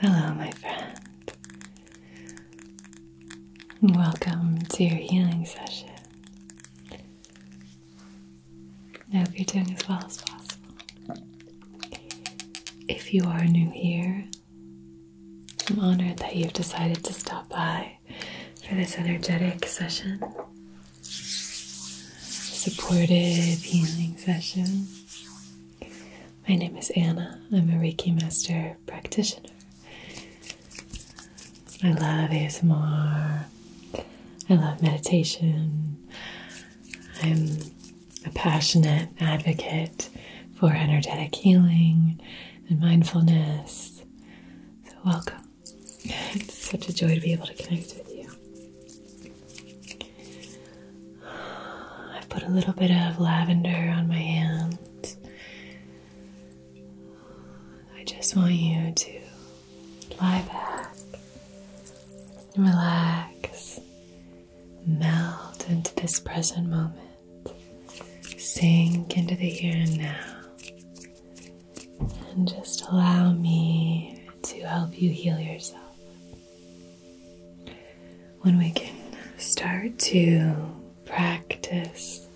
Hello, my friend. Welcome to your healing session. I hope you're doing as well as possible. If you are new here, I'm honored that you've decided to stop by for this energetic session supportive healing session. My name is Anna. I'm a Reiki Master practitioner. I love ASMR. I love meditation. I'm a passionate advocate for energetic healing and mindfulness. So, welcome. It's such a joy to be able to connect with you. i put a little bit of lavender on my hands. I just want you to lie back, relax, melt into this present moment, sink into the here and now. And just allow me to help you heal yourself. When we can start to practice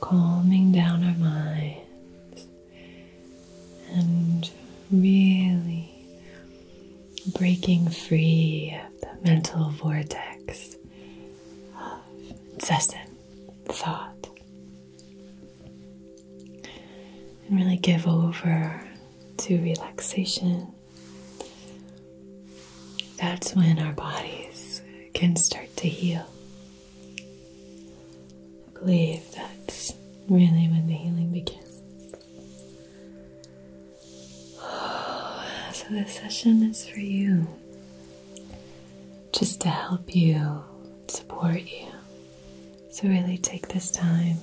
calming down our minds and really breaking free of the mental vortex of incessant thought and really give over to relaxation, that's when our bodies can start to heal. I believe that's really when the healing begins. so, this session is for you just to help you, support you, so, really take this time.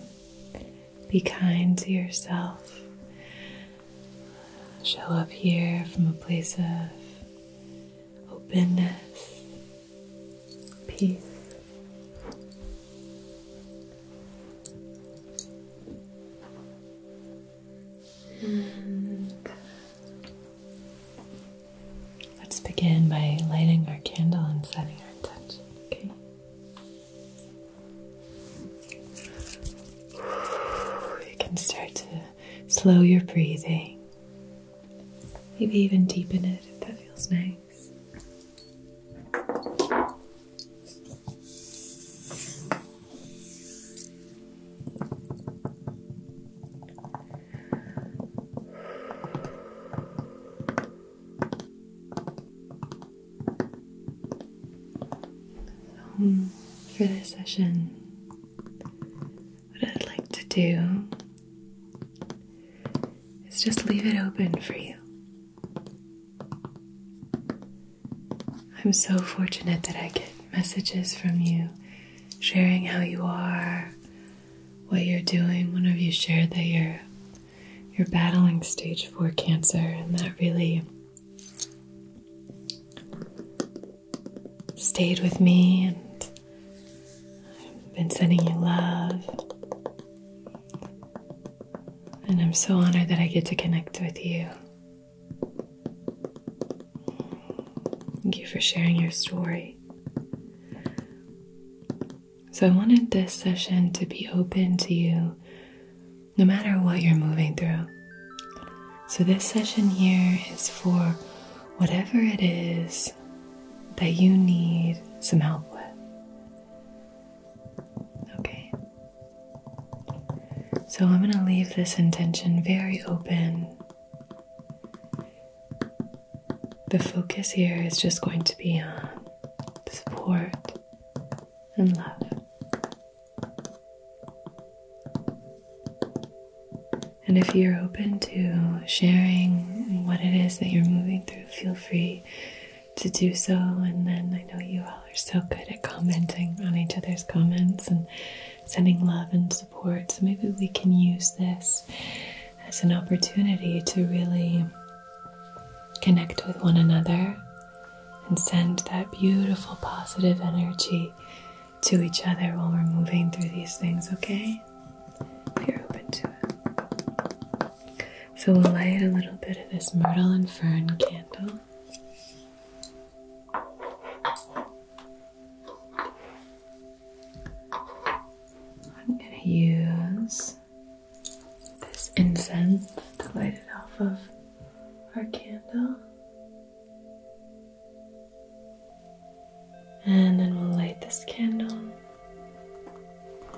Be kind to yourself. Show up here from a place of openness, peace. And Let's begin by lighting our candle and setting our intention, okay? You can start to slow your breathing, maybe even deepen it if that feels nice. So, for this session, what I'd like to do is just leave it open for you. I'm so fortunate that I get messages from you sharing how you are, what you're doing whenever you shared that you're you're battling stage four cancer and that really stayed with me and I've been sending you love. And I'm so honored that I get to connect with you. Thank you for sharing your story. So, I wanted this session to be open to you no matter what you're moving through. So, this session here is for whatever it is that you need some help with. Okay. So, I'm going to leave this intention very open. The focus here is just going to be on support and love. And if you're open to sharing what it is that you're moving through, feel free to do so. And then I know you all are so good at commenting on each other's comments and sending love and support. So maybe we can use this as an opportunity to really connect with one another and send that beautiful positive energy to each other while we're moving through these things, okay? If are open to it. So we'll light a little bit of this myrtle and fern candle. I'm going to use this incense to light it off of our candle. And then we'll light this candle and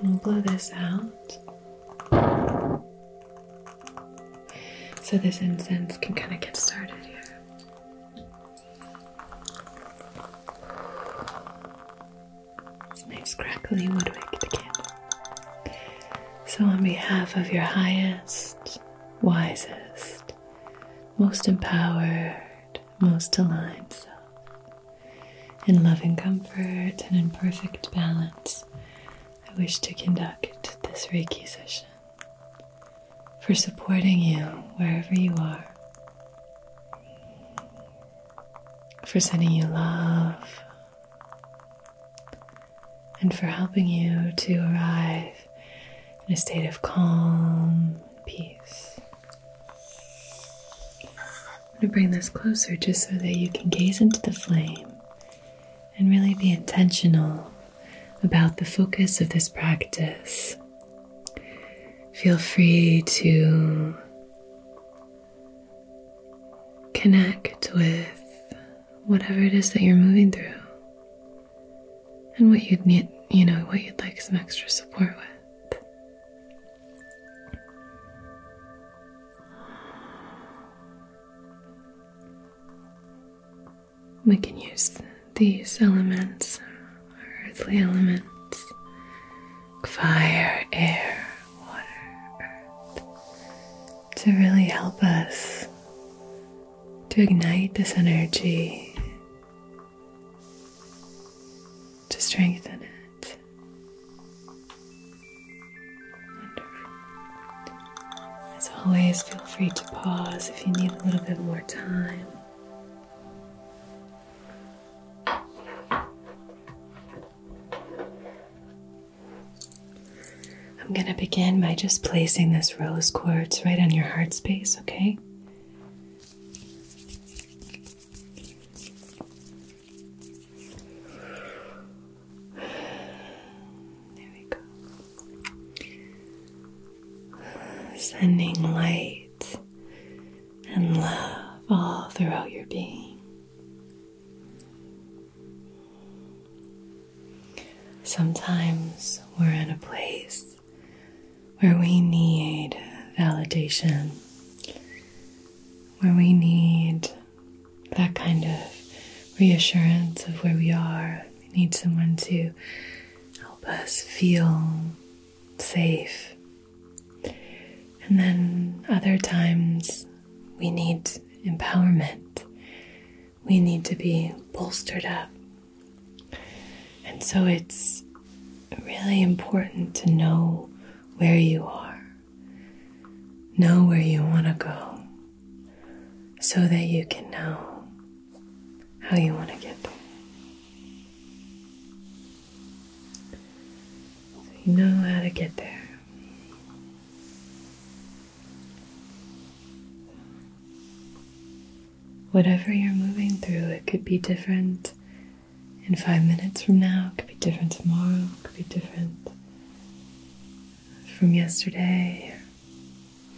we'll blow this out. So this incense can kind of get started here. It's nice crackling woodwick to So, on behalf of your highest, wisest, most empowered, most aligned self, in loving comfort and in perfect balance, I wish to conduct this Reiki session for supporting you wherever you are for sending you love, and for helping you to arrive in a state of calm and peace. I'm going to bring this closer just so that you can gaze into the flame and really be intentional about the focus of this practice Feel free to connect with whatever it is that you're moving through and what you'd need, you know, what you'd like some extra support with. We can use these elements earthly elements fire, air, water, earth to really help us to ignite this energy, to strengthen it. As always, feel free to pause if you need a little bit more time. I'm going to begin by just placing this rose quartz right on your heart space, okay? There we go. Sending light and love all throughout your being. Sometimes we're in a place where we need validation, where we need that kind of reassurance of where we are. We need someone to help us feel safe. And then other times we need empowerment. We need to be bolstered up. And so it's really important to know where you are, know where you want to go, so that you can know how you want to get there you know how to get there. Whatever you're moving through, it could be different in five minutes from now, it could be different tomorrow, it could be different from yesterday.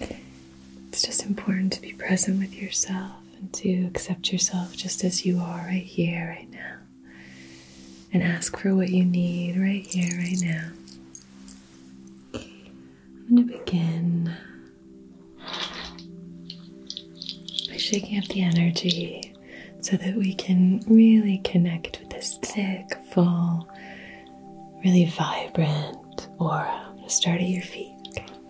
It's just important to be present with yourself and to accept yourself just as you are right here, right now. And ask for what you need right here, right now. I'm going to begin by shaking up the energy so that we can really connect with this thick, full, really vibrant aura. start at your feet.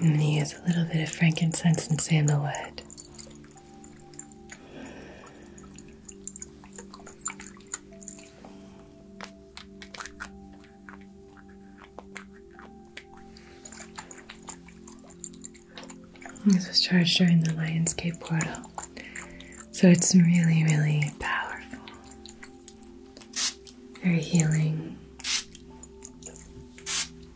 And he has a little bit of frankincense and sandalwood. This was charged during the Lion's Cave portal. So it's really, really powerful. Very healing.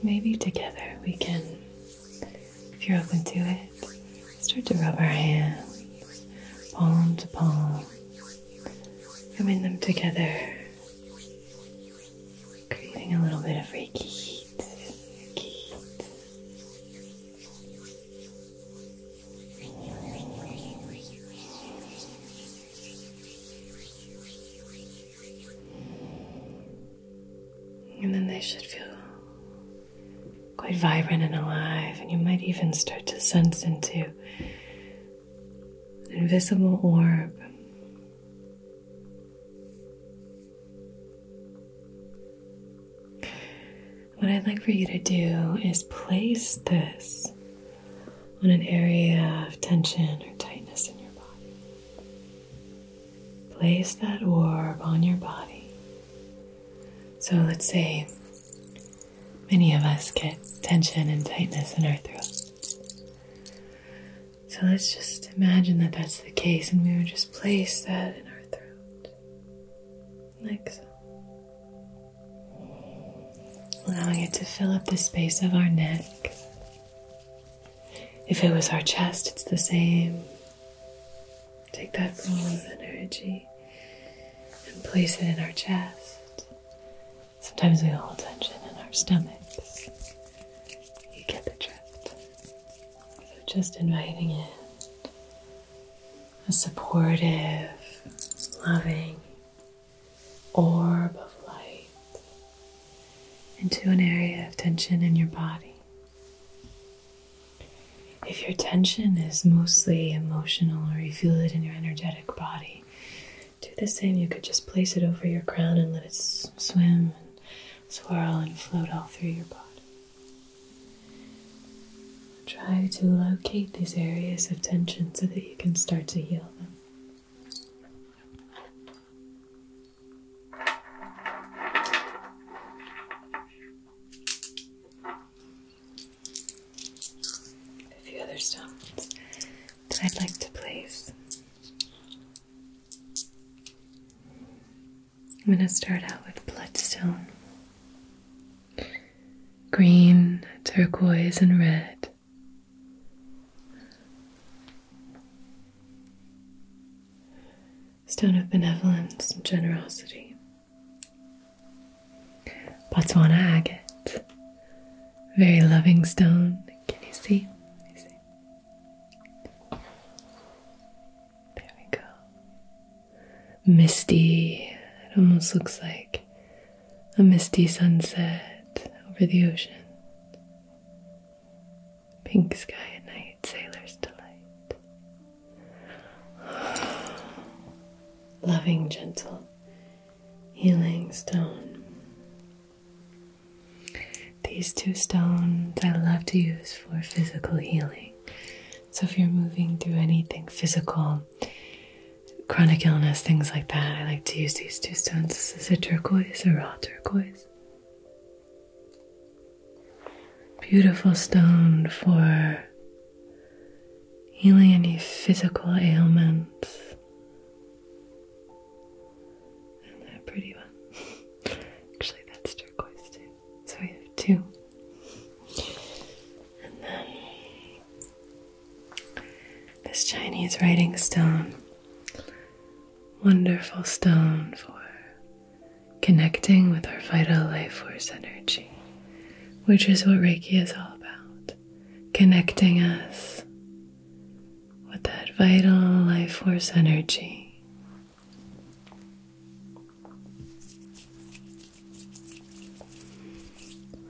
Maybe together we can, if you're open to it, start to rub our hands palm to palm, rubbing them together, creating a little bit of Reiki heat. And then they should feel quite vibrant and alive, and you might even start to sense into invisible orb. What I'd like for you to do is place this on an area of tension or tightness in your body. Place that orb on your body. So let's say many of us get tension and tightness in our throat. So let's just imagine that that's the case, and we would just place that in our throat. Like so. Allowing it to fill up the space of our neck. If it was our chest, it's the same. Take that ball of energy and place it in our chest. Sometimes we hold tension in our stomachs. You get the drift. So just inviting in a supportive, loving orb of light into an area of tension in your body. If your tension is mostly emotional or you feel it in your energetic body, do the same. You could just place it over your crown and let it swim and swirl and float all through your body. Try to locate these areas of tension so that you can start to heal them. A few other stones that I'd like to place I'm going to start out with bloodstone. Green, turquoise, and red. Stone of benevolence and generosity. Botswana agate. Very loving stone, can you see? There we go. Misty. It almost looks like a misty sunset over the ocean. Pink sky at night, sailor's delight. Loving, gentle, healing stone. These two stones I love to use for physical healing. So, if you're moving through anything physical, chronic illness, things like that, I like to use these two stones. This is a turquoise, a raw turquoise. Beautiful stone for healing any physical ailments. And that pretty one. Actually, that's turquoise too. So we have two. And then this Chinese writing stone. Wonderful stone for connecting with our vital life force energy, which is what Reiki is all about. Connecting us with that vital life force energy.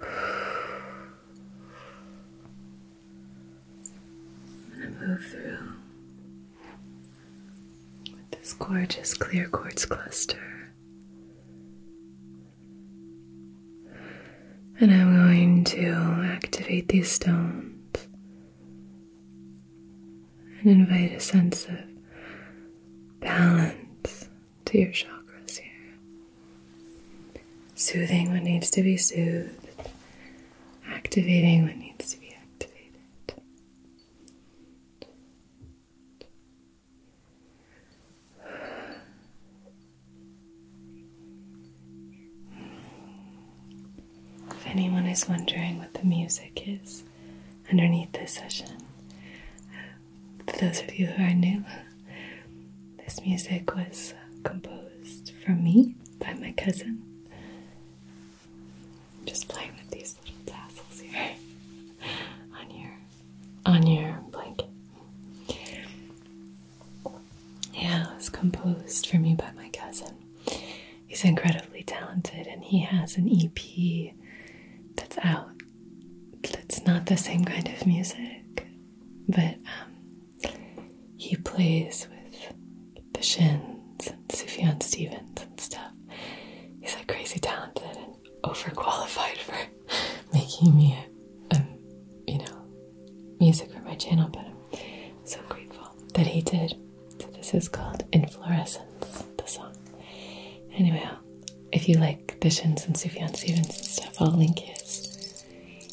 I'm gonna move through this gorgeous clear quartz cluster. And I'm going to activate these stones and invite a sense of balance to your chakras here. Soothing what needs to be soothed, activating what needs to be activated. If anyone is wondering what the music is underneath this session, for those of you who are new, this music was composed for me by my cousin. just playing with these little tassels here on your on your blanket. Yeah, it was composed for me by my cousin. He's incredibly talented and he has an EP that's out. That's not the same kind of music, but um, he plays with the Shins and Sufjan Stevens and stuff. He's like crazy talented and overqualified for making me, a, you know, music for my channel, but I'm so grateful that he did. So this is called Inflorescence, the song. Anyway, if you like Bishens and Sufjan Stevens and stuff, I'll link his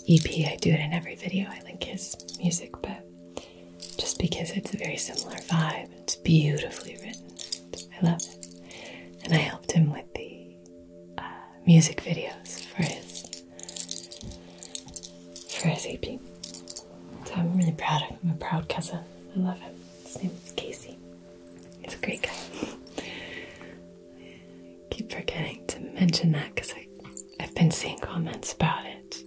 EP. I do it in every video. I link his music, but just because it's a very similar vibe, it's beautifully written. I love it. And I helped him with the uh, music videos for his for his EP. So I'm really proud of him. I'm a proud cousin. I love him. His name is Casey. He's a great guy. keep forgetting to mention that because I've been seeing comments about it.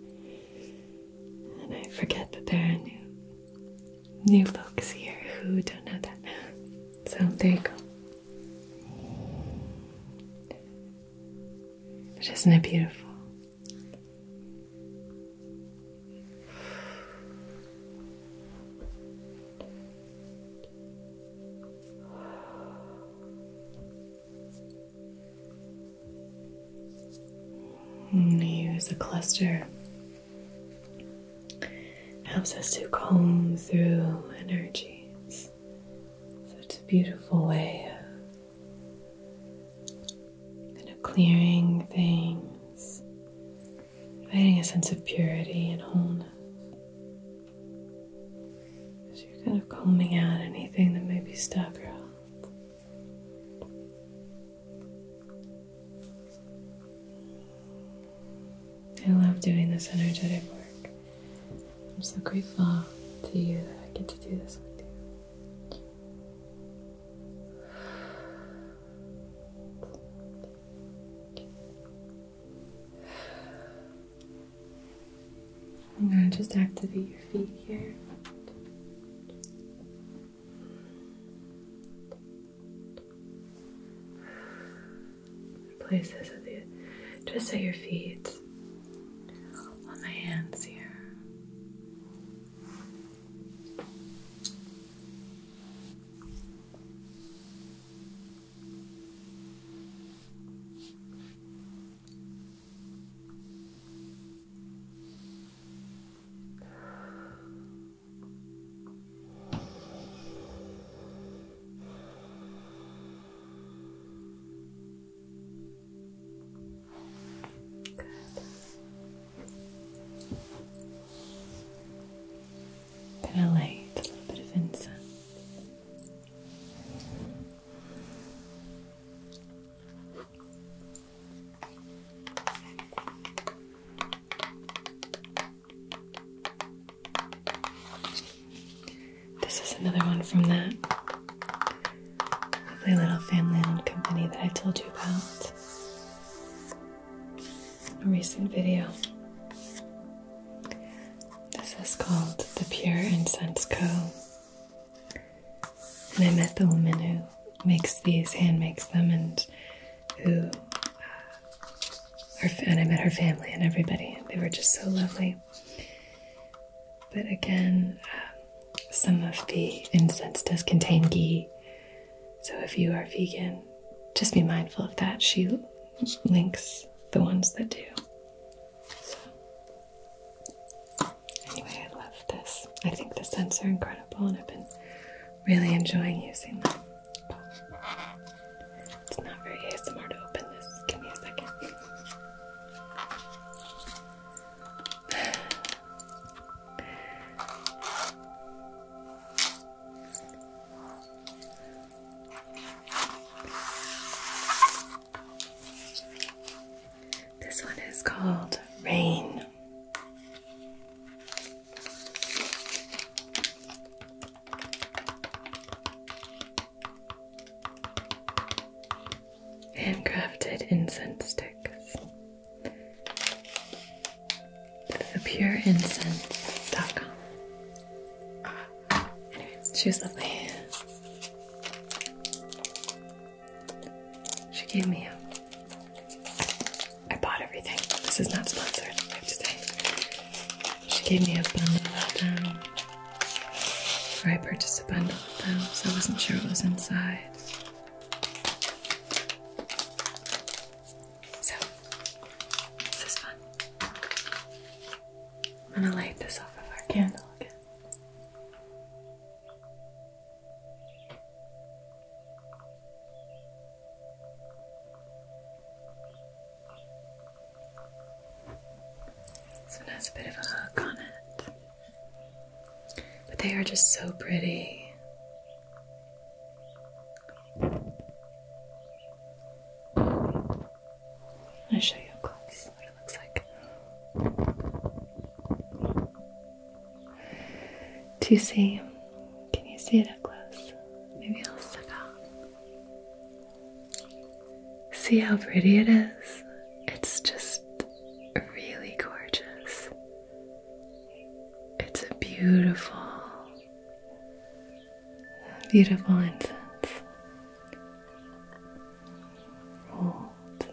And I forget that there are new new folks here who don't know that. So there you go. But isn't it beautiful? i mm, use a cluster. Helps us to comb through energies. So it's a beautiful way of kind of clearing things, creating a sense of purity and wholeness. So you're kind of combing out anything that may be stuck I love doing this energetic work. I'm so grateful to you that I get to do this with you. I'm going to just activate your feet here. Place this at the just at your feet on my hands here. Good. I'm a little bit of incense. This is another one from that lovely little family-owned company that I told you about in a recent video. This is called the Pure Incense Co. And I met the woman who makes these, and makes them, and who, uh, and I met her family and everybody. They were just so lovely. But again, um, some of the incense does contain ghee. So if you are vegan, just be mindful of that. She links the ones that do. Anyway, I love this. I think the scents are incredible and I've been really enjoying using them. It's not very ASMR to open this. Give me a second. This one is called Rain handcrafted incense sticks. ThePureIncense.com. Anyway, she was lovely. She gave me a. Um, I bought everything. This is not sponsored, I have to say. She gave me a bundle of them. I purchased a bundle of them, so I wasn't sure what was inside. So, this is fun. I'm gonna light this off of our candle again. This one has a bit of a hook on it. But they are just so pretty. I'll show you up close what it looks like. Do see? Can you see it up close? Maybe I'll step out. See how pretty it is? It's just really gorgeous. It's a beautiful, beautiful incense. Rolled.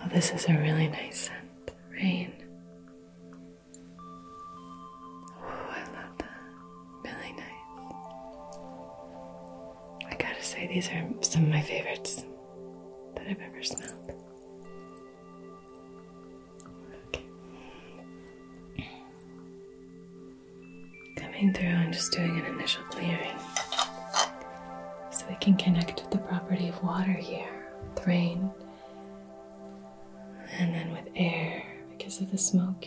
Oh, this is a really nice scent. Rain. Oh, I love that. Really nice. I gotta say, these are some of my favorites that I've ever smelled. Coming through and just doing an initial clearing so we can connect with the property of water here, with rain, and then with air because of the smoke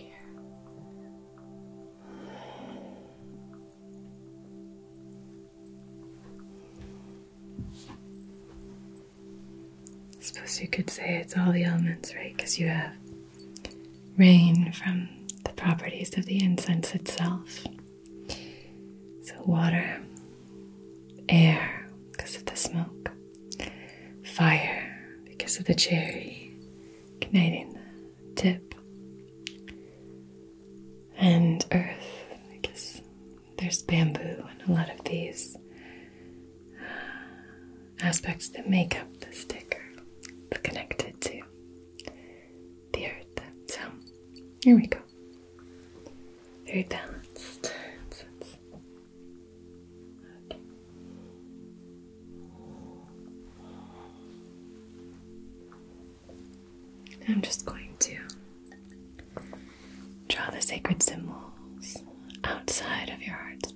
suppose you could say it's all the elements, right? Because you have rain from the properties of the incense itself. So, water, air, because of the smoke, fire, because of the cherry, igniting the tip and earth because there's bamboo and a lot of these uh, aspects that make up the sticker it's connected to the earth so here we go very balanced I'm just going to draw the sacred symbols outside of your heart space.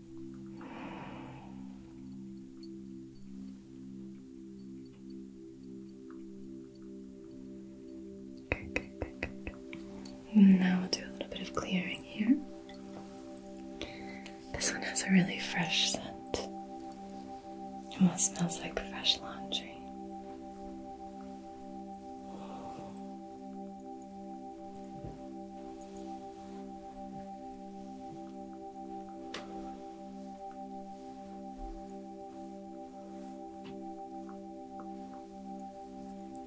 Now we'll do a little bit of clearing here. This one has a really fresh scent. Almost smells like fresh laundry.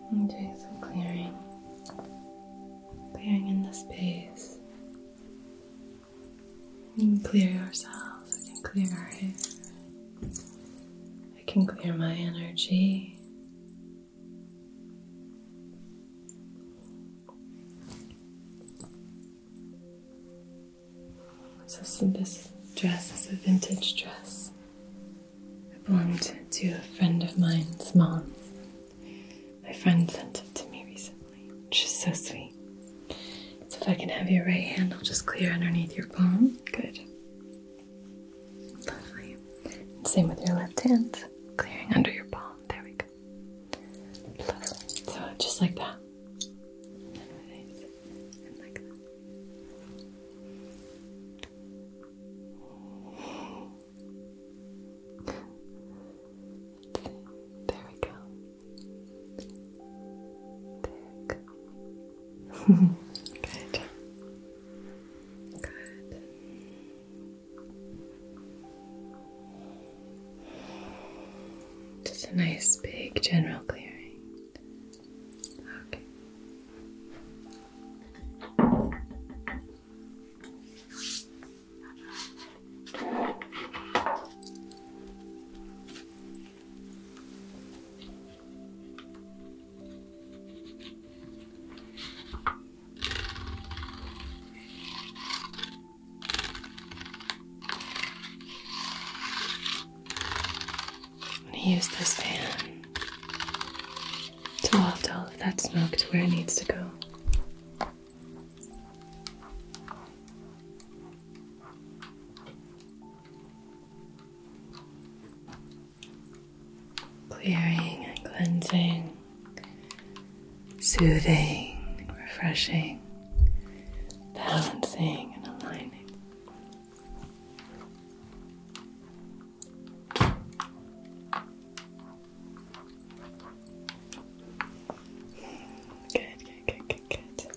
I'm doing some clearing, clearing in the space. We can clear ourselves, I can clear our hair, I can clear my energy. So this dress is a vintage dress. I belonged to a friend of mine's mom. My friend sent it to me recently, which is so sweet. So if I can have your right hand, I'll just clear underneath your palm. Good same with your left hand, clearing under your palm. There we go. So just like that. There we go. There Good. Just a nice big general clearing. Okay. I'm gonna Use this fan to waft all of that smoke to where it needs to go clearing and cleansing, soothing, refreshing, balancing, and aligning. Good, good, good, good, good.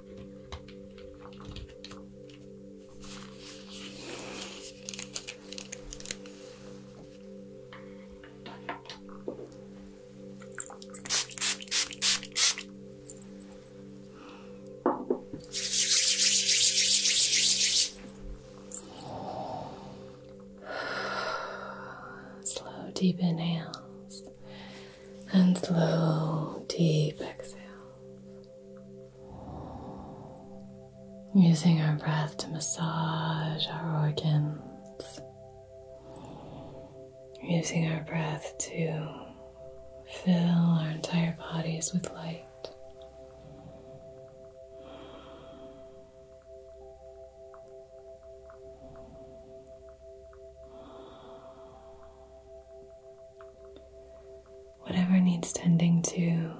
Slow, deep inhales and slow, deep exhale. Using our breath to massage our organs, using our breath to fill our entire bodies with light. Whatever needs tending to,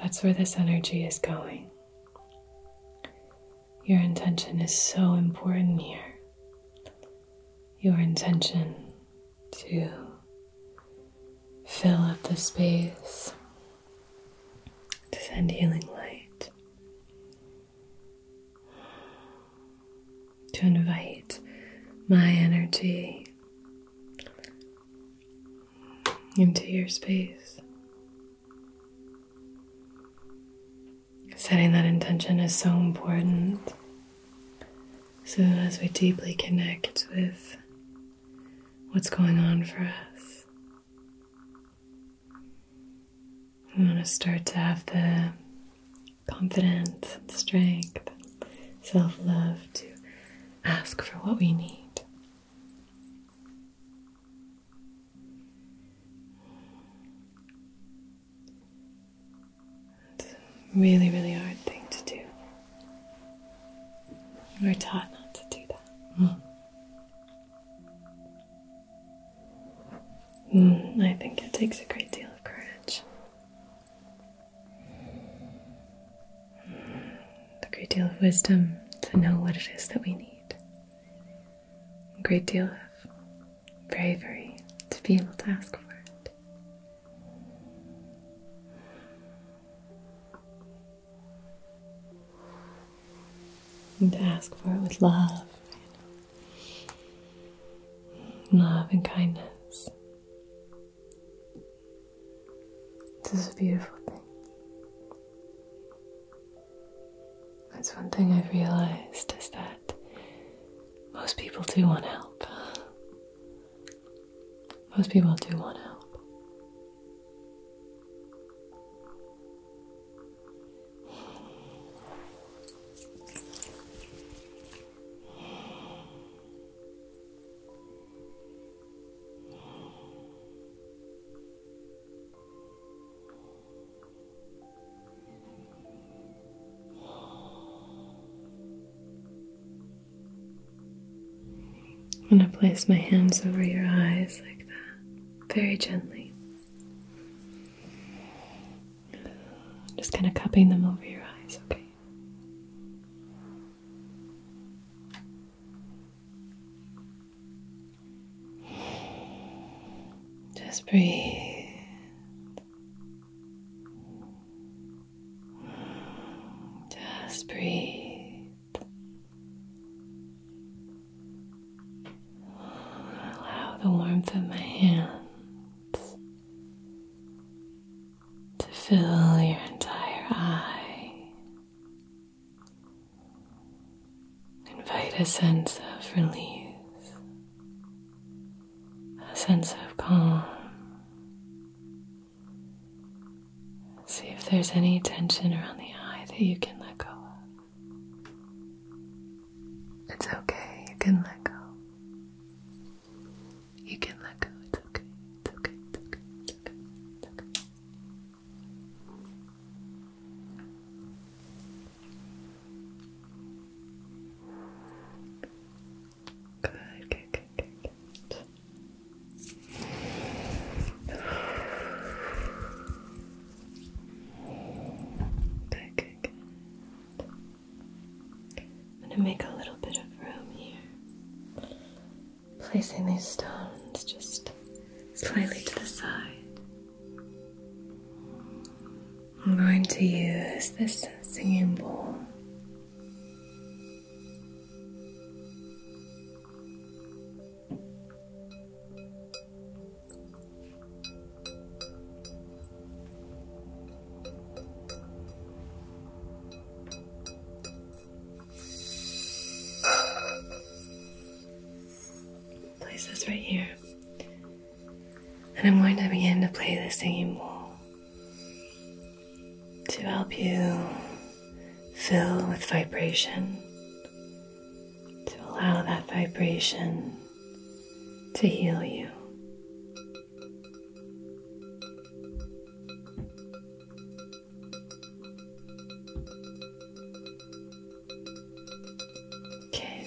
that's where this energy is going. Your intention is so important here. Your intention to fill up the space, to send healing light, to invite my energy into your space. Setting that intention is so important. So as we deeply connect with what's going on for us, i want to start to have the confidence, strength, self love to ask for what we need. It's really, really hard thing to do. We're taught not to do that. Mm. Mm, I think it takes a great deal of courage. Mm, a great deal of wisdom to know what it is that we need. A great deal of bravery to be able to ask for it. And to ask for it with love love and kindness. This is a beautiful thing. That's one thing I've realized is that most people do want help. Most people do want help. I'm going to place my hands over your eyes like that, very gently. Just kind of cupping them over your eyes, okay? Just breathe. Just breathe. Allow the warmth of my hands to fill your entire eye. Invite a sense of release, a sense of calm. See if there's any tension around the eye that you can let go of. It's okay, you can let go. You can let go, it's okay, it's okay, it's okay, it's okay, it's okay. Good, good, good, good, I'm going to make a little bit of room here. Placing these stones just slightly to the side. I'm going to use this singing bowl. Place this right here. And I'm going to begin to play the singing bowl to help you fill with vibration, to allow that vibration to heal you. Okay.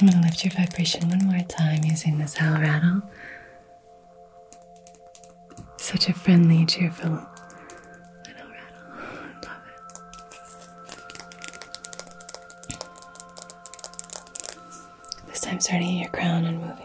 I'm going to lift your vibration one more time using this owl rattle. Such a friendly, cheerful little rattle. I love it. This time, starting at your crown and moving down.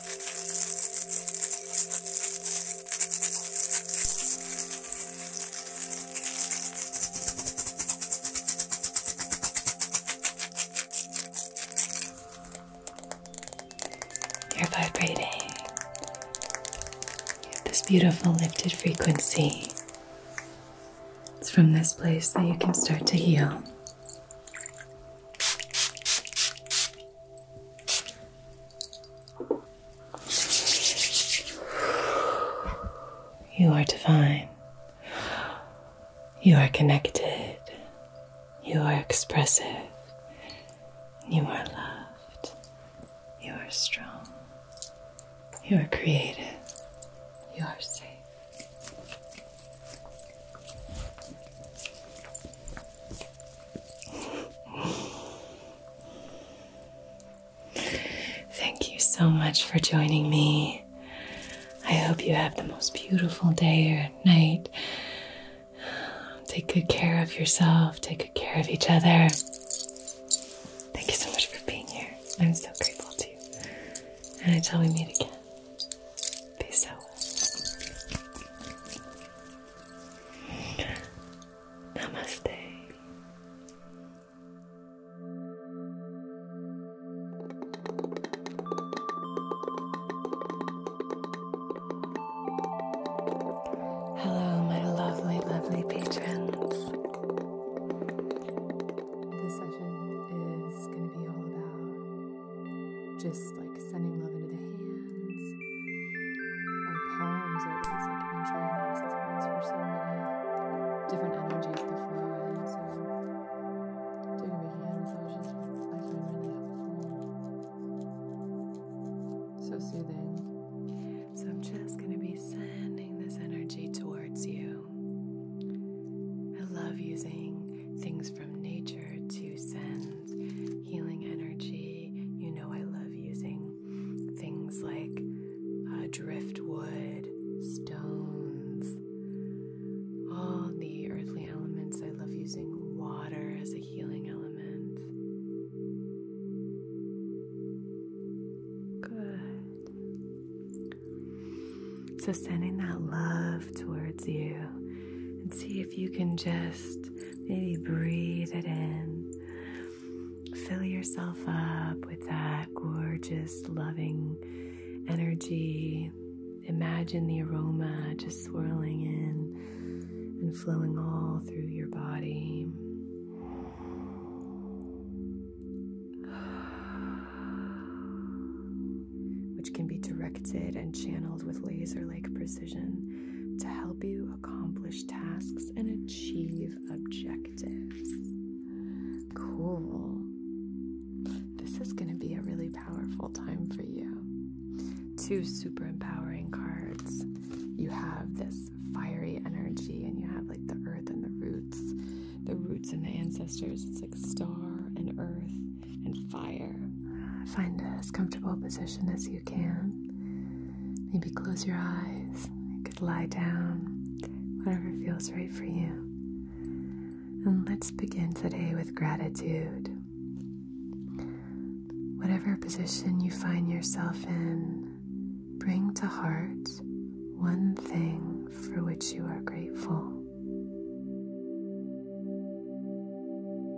You're vibrating. You have this beautiful lifted frequency. It's from this place that you can start to heal. You are divine. You are connected. You are expressive. You are loved. You are strong. You are creative. You are safe. Thank you so much for joining me. I hope you have the most beautiful day or night. Take good care of yourself, take good care of each other. Thank you so much for being here. I'm so grateful to you. And until we meet again, peace out. Namaste. Hello, my lovely, lovely patrons. This session is going to be all about just like sending love into the hands. my palms are these like entry and exit points for so many different energies to flow in. So doing Reiki hand massages, I find really helpful. So soothing. So I'm just going to be sending this energy towards you. I love using things from nature to send healing energy. You know, I love using things like uh, driftwood, stones, all the earthly elements. I love using water as a healing element. Good. So, sending that love towards you and see if you can just Maybe breathe it in. Fill yourself up with that gorgeous, loving energy. Imagine the aroma just swirling in and flowing all through your body. which can be directed and channeled with laser like precision to help you accomplish tasks and achieve objectives. Cool. This is going to be a really powerful time for you. Two super empowering cards. You have this fiery energy, and you have like the earth and the roots, the roots and the ancestors. It's like star and earth and fire. Find as comfortable position as you can. Maybe close your eyes. You could lie down, whatever feels right for you. And let's begin today with gratitude. Whatever position you find yourself in, bring to heart one thing for which you are grateful.